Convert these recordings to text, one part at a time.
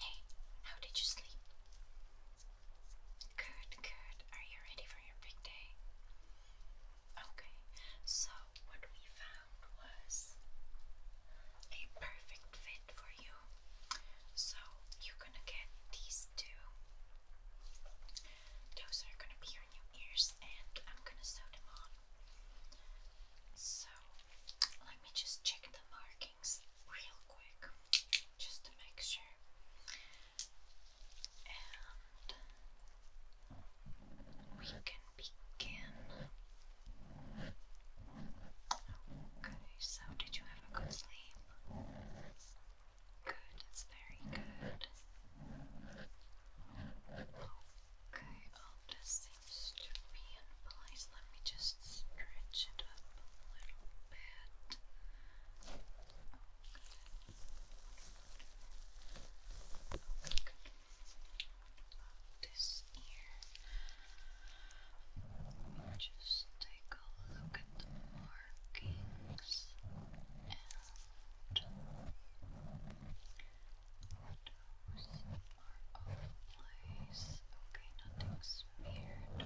Hey, how did you sleep? Good, good. Are you ready for your big day? Okay, so what we found was a perfect fit for you. So you're gonna get these two. Those are gonna be your new ears, and I'm gonna sew them on. So let me just check the markings real quick just to make sure. And we can begin. Okay, so did you have a good sleep? Good, that's very good. Okay, I'll just seems Let me just stretch it up a little bit. Okay. Okay. this ear. Let me just take a look at the markings are all place. Okay, nothing smeared.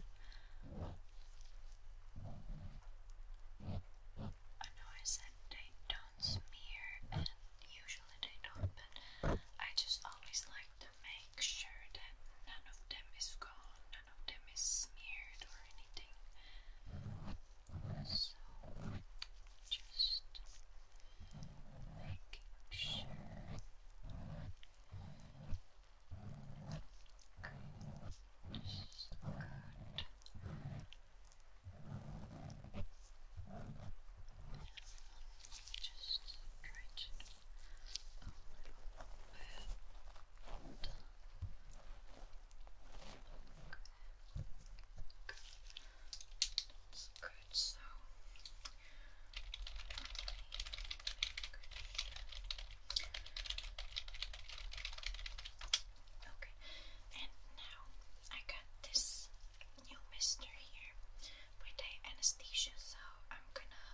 I know I said they don't smear, and usually they don't, but I just always like to make sure that none of them is gone, none of them is smeared or anything. So, just making sure Goose got just stretch a little bit. Okay. Let's go good, so Okay, and now I got this new mister here with the anesthesia, so I'm gonna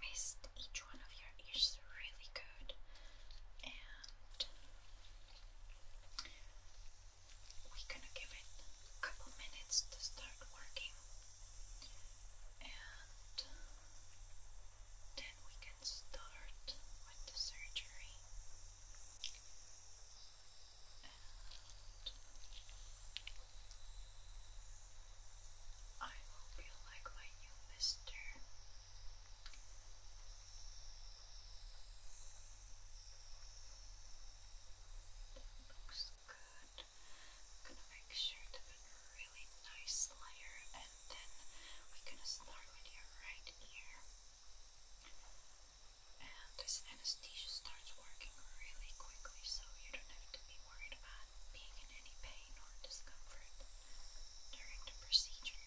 mist each one of your ears really good and we're gonna give it a couple minutes to start working and then we can start with the surgery. I hope you like my new mister good. I'm gonna make sure to put a really nice layer and then we're gonna start with your right ear. And this anesthesia starts working really quickly so you don't have to be worried about being in any pain or discomfort during the procedure.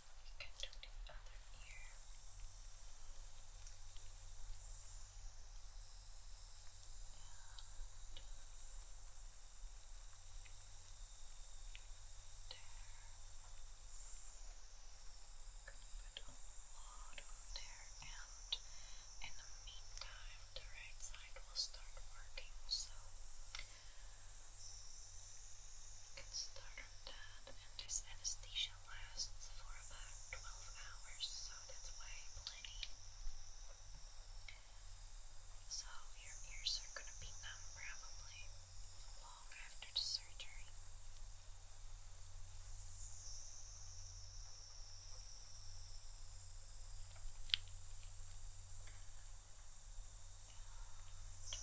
Now we can do the other ear. And there. Good. Put a lot there, and in the meantime, the right side will start working. So, we can start on that this anesthesia lasts for about 12 hours, so that's why plenty. So your ears are going to be numb probably long after the surgery.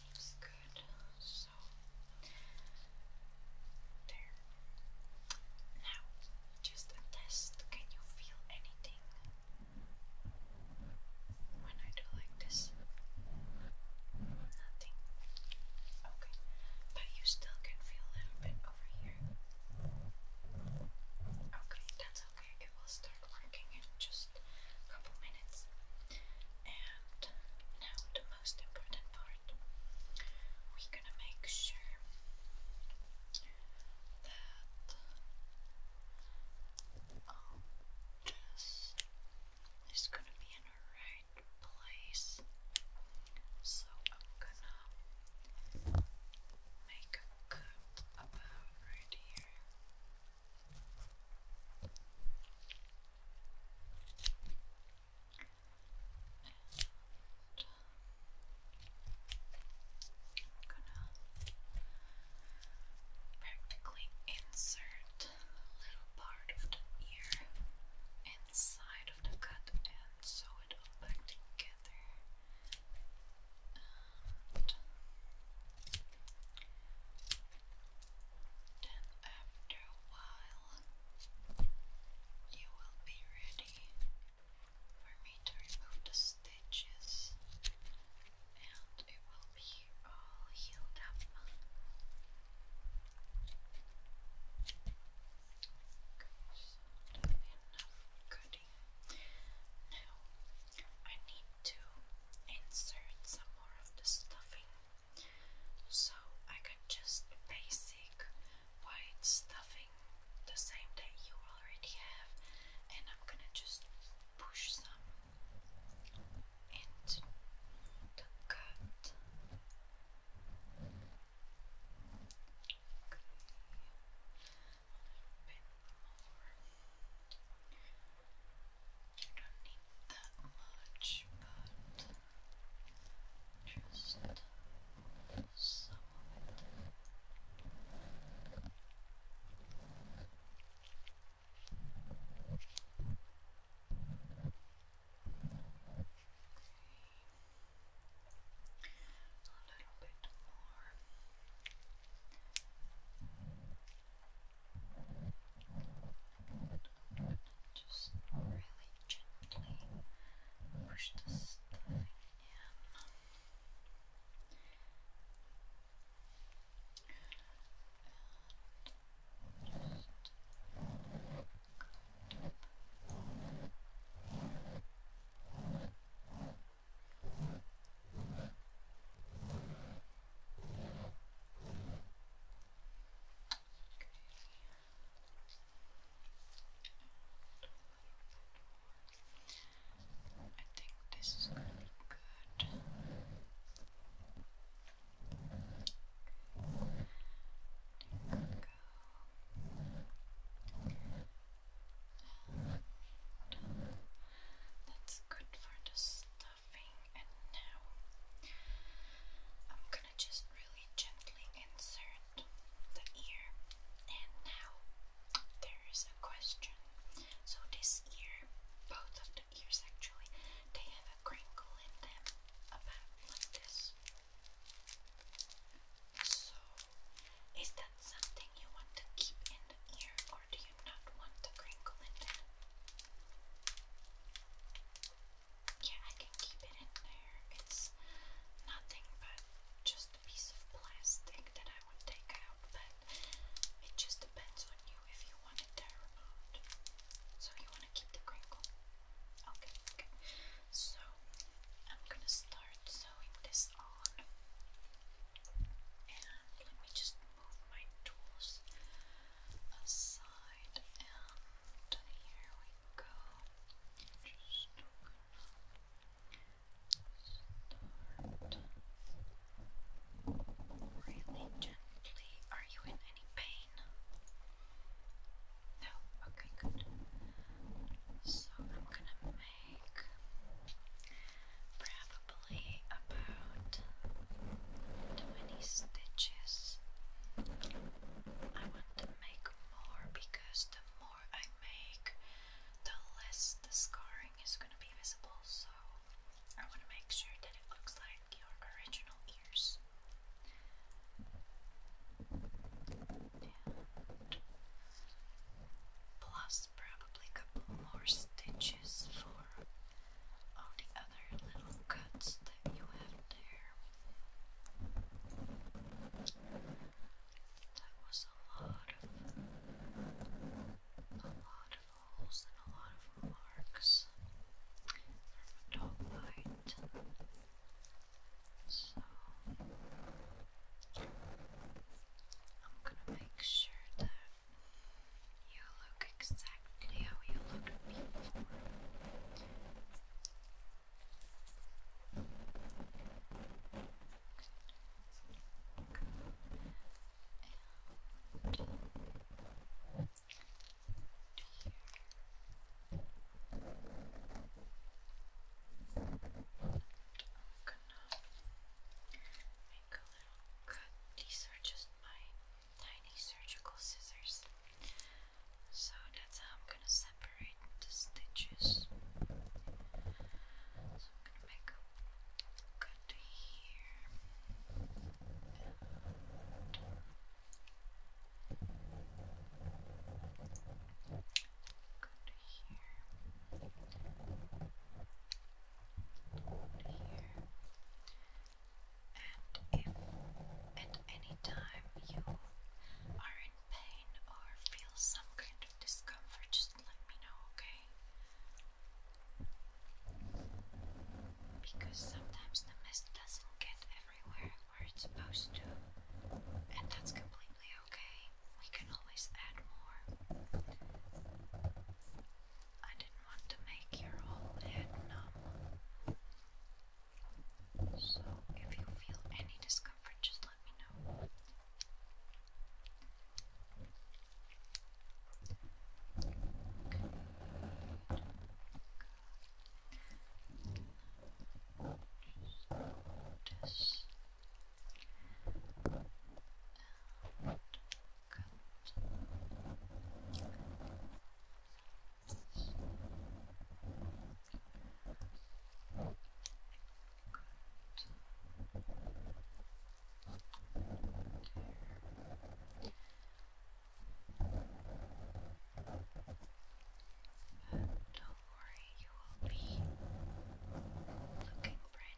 seems good. So there. Now, just a test. Can you feel anything when I do like this? Nothing. Okay. But you still can feel a little bit over here. Okay, that's okay. It will start working in just a couple minutes. And now the most important part. We're gonna make sure that all this is gonna be in the right place. So I'm gonna make a cut about right here gonna practically insert a little part of the ear inside of the cut and sew it all back together. Then, after a while, you will be ready for me to remove the stitches, and it will be all healed up. Okay, enough cutting. Now, I need to insert some more of the stuffing. So I can just basic white stuffing the same that you already have, and I'm gonna just push some into the cut don't need that much, but just A little bit more. Just really gently push the stuff in. And just I think this is gonna be good. There we that's good for the style and now I'm gonna just really gently insert the ear and now there is a question. So this ear, both of the ears actually, they have a crinkle in them about like this. So is that something you want to keep in the ear or do you not want the crinkle in Yeah, I can keep it in there. It's nothing but just a piece of plastic that I would take out, but it just depends on you if you want it there or not. So, you want to keep the crinkle? Okay, okay. So, I'm gonna start sewing this on. And let me just move my tools aside, and here we go. Just start really gently. Are you in any pain? No? Okay, good. So I'm gonna make probably about 20 stitches. I want to make more because the more I make, the less the scarring is going to be visible. So I want to make sure that it looks like your original ears. plus, probably a couple more stitches for all the other little cuts that you have there. That was a lot of a lot of holes and a lot of remarks from a So I'm gonna make sure that you look exactly how you looked before. And here. Uh, I'm gonna make a little cut. These are just my tiny surgical scissors. So that's how I'm gonna separate the stitches. So I'm gonna make a cut here. cut here. Here. And if at any time you are in pain or feel some kind of discomfort, just let me know, okay? Because sometimes the mist doesn't get everywhere where it's supposed to, and that's completely okay. We can always add more. I didn't want to make your whole head numb. So if you feel any discomfort, just let me know. And don't worry, you will be looking brand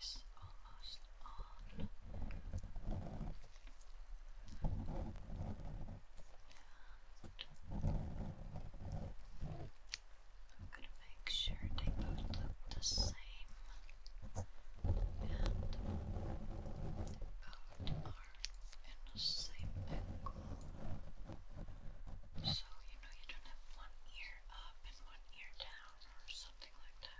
is almost on. I'm gonna make sure they both look the same and both are in the same angle. So you know you don't have one ear up and one ear down or something like that.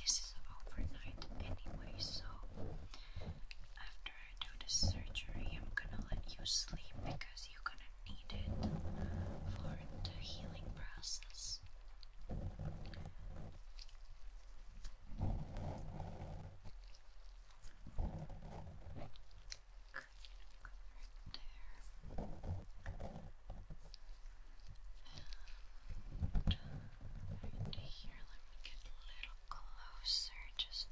this is overnight anyway, so after I do the surgery, I'm gonna let you sleep because you're gonna need it for the healing process there. right here, let me get a little closer, just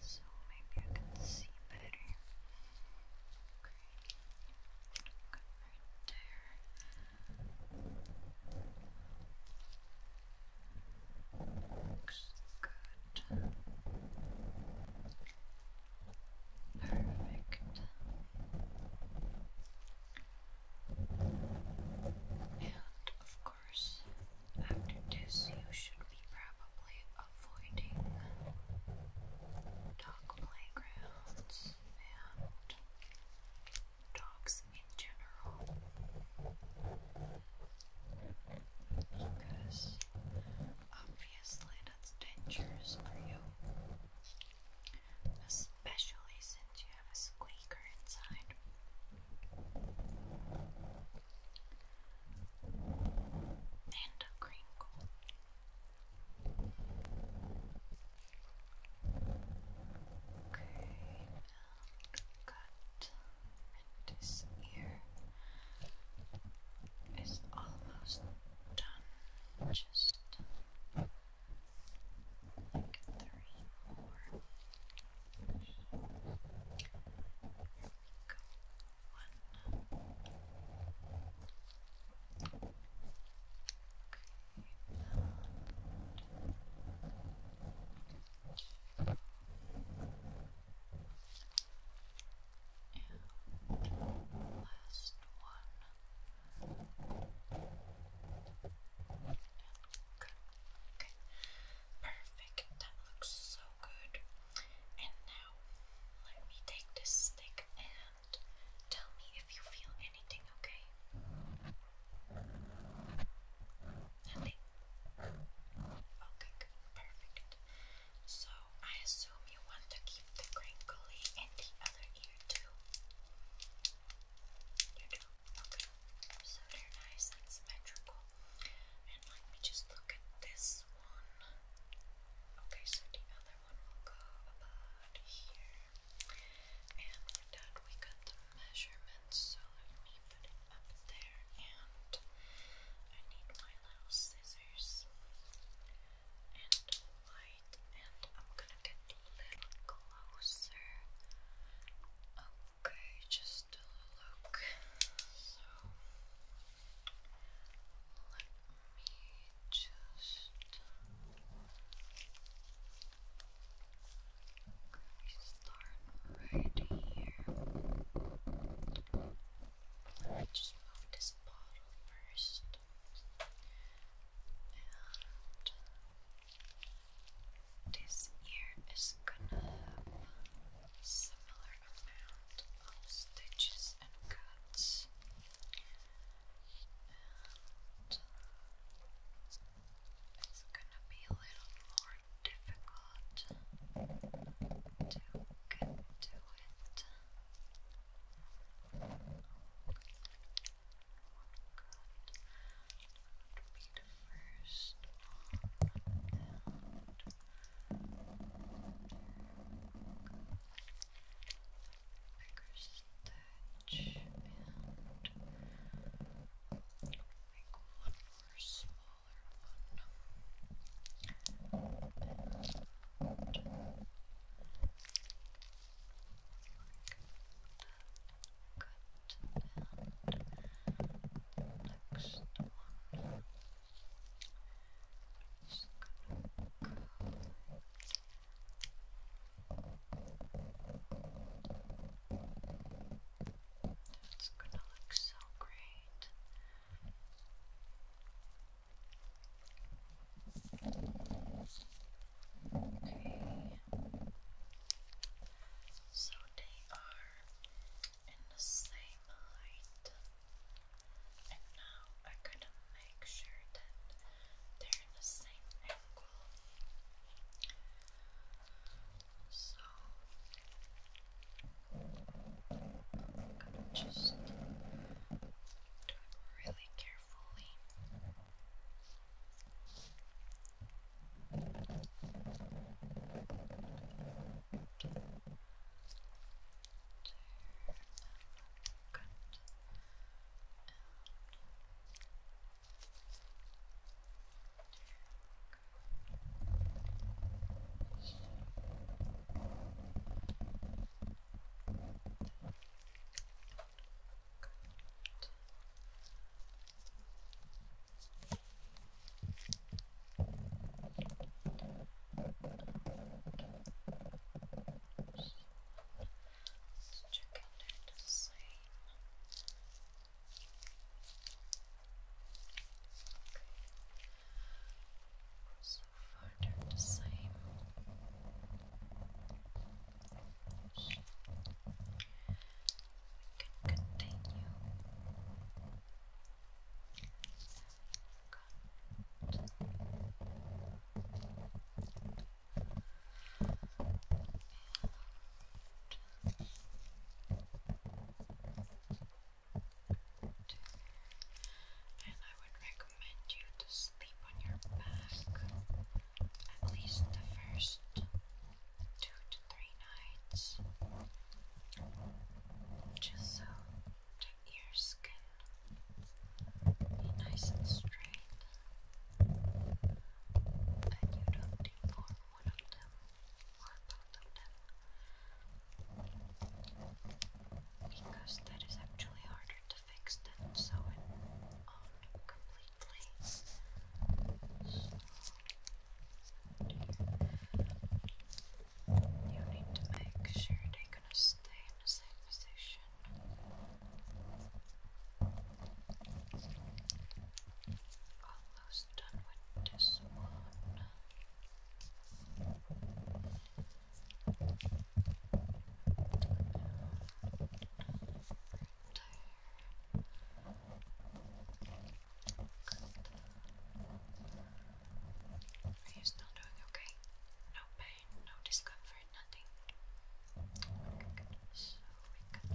so maybe I can see better. right there. Looks good. Perfect. And of course, after this, you should be probably avoiding dog playgrounds and dogs in general because obviously that's dangerous for you. Especially since you have a squeaker inside. And a crinkle. Okay, cut and this ear almost done. Just like three more. go. One. Okay, and last one. Okay. Perfect. That looks so good. And now let me take this stick and tell me if you feel anything, okay? Okay, perfect. So I assume you want to keep the crinkly in the other ear too. You do? Okay. So they're nice and symmetrical. And let me just look at this one. Okay, so the other one will go about here. And we got the measurements, so let up there, and I need my little scissors and white, and I'm gonna get a little closer. Okay, just a look. So let me just. We start right here. Just move this bottle first. this ear is gonna have a similar amount of stitches and cuts. And it's gonna be a little more difficult to get to it. Good. Be the first Bigger stitch and make for a smaller one. And good. And next one. Just gonna go. Right that's gonna look so great. Okay. So they are in the same height. And now I'm to make sure that they're in the same angle. So I'm gonna just do it really carefully. Let's check under the same. Okay. So far they're the same. we can continue. And I would recommend you to sleep on your back at least the first two to three nights, just so the ears can be nice and straight and you don't deform one of them more about them because that is actually harder to fix than sewing you need to make sure they're gonna stay in the same position. Oh, almost done Are you still doing okay? No pain, no discomfort, nothing. I'm gonna let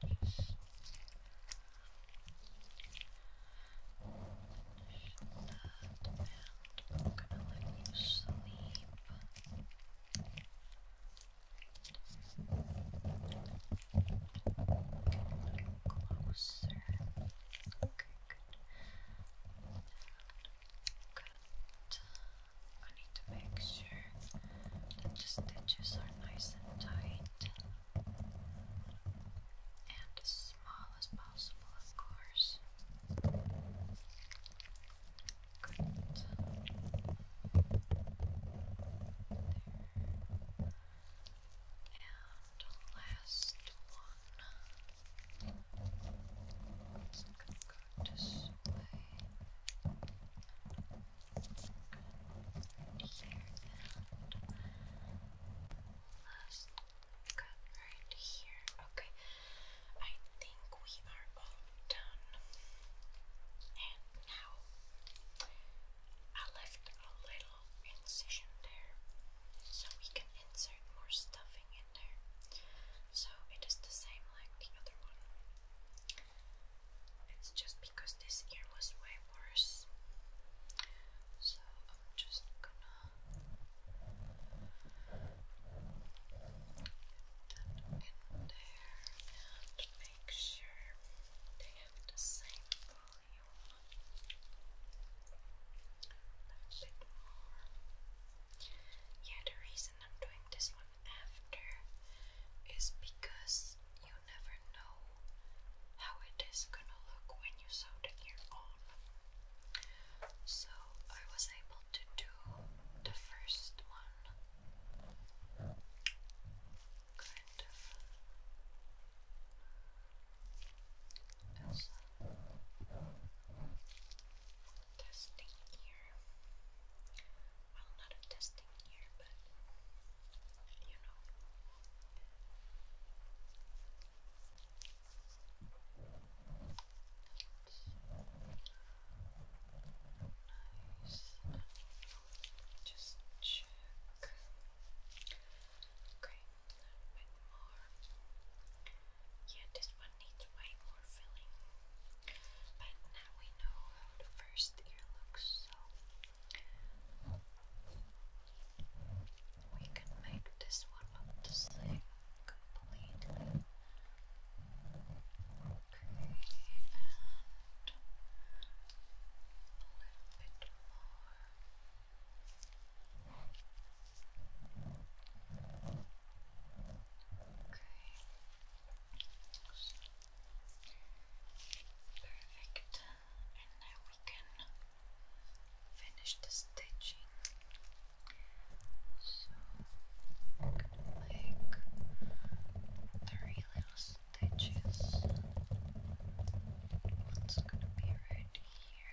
you sleep. Get a little closer. Okay, good. And Good. I need to make sure that the stitches are nice and tight and as small as possible, of course. Good. There. And last one last cut right here. Okay, I think we are all done. And now I left a little incision there so we can insert more stuffing in there. So it is the same like the other one. It's just because this ear was way worse. So I'm just gonna put that in there and make sure they have the same volume. That's it more. Yeah, the reason I'm doing this one after is because you never know how it is gonna look when you sew the ear on. So I was able to do the first one kind of testing here. Well, not a testing ear, but you know. Just Okay, more. Yeah, this one needs way more filling. But now we know how the first ear looks, so we can make this one look the same completely. Okay, and a little bit more. Perfect. And now we can finish the stitching. So i three little stitches. One's gonna be right here.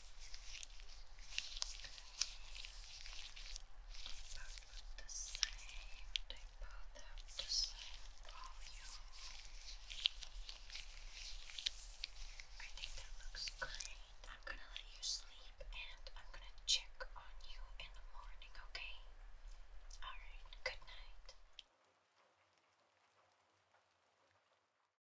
Both look the same. They both have the same volume. I think that looks great. I'm gonna let you sleep and I'm gonna check on you in the morning, okay? Alright, good night.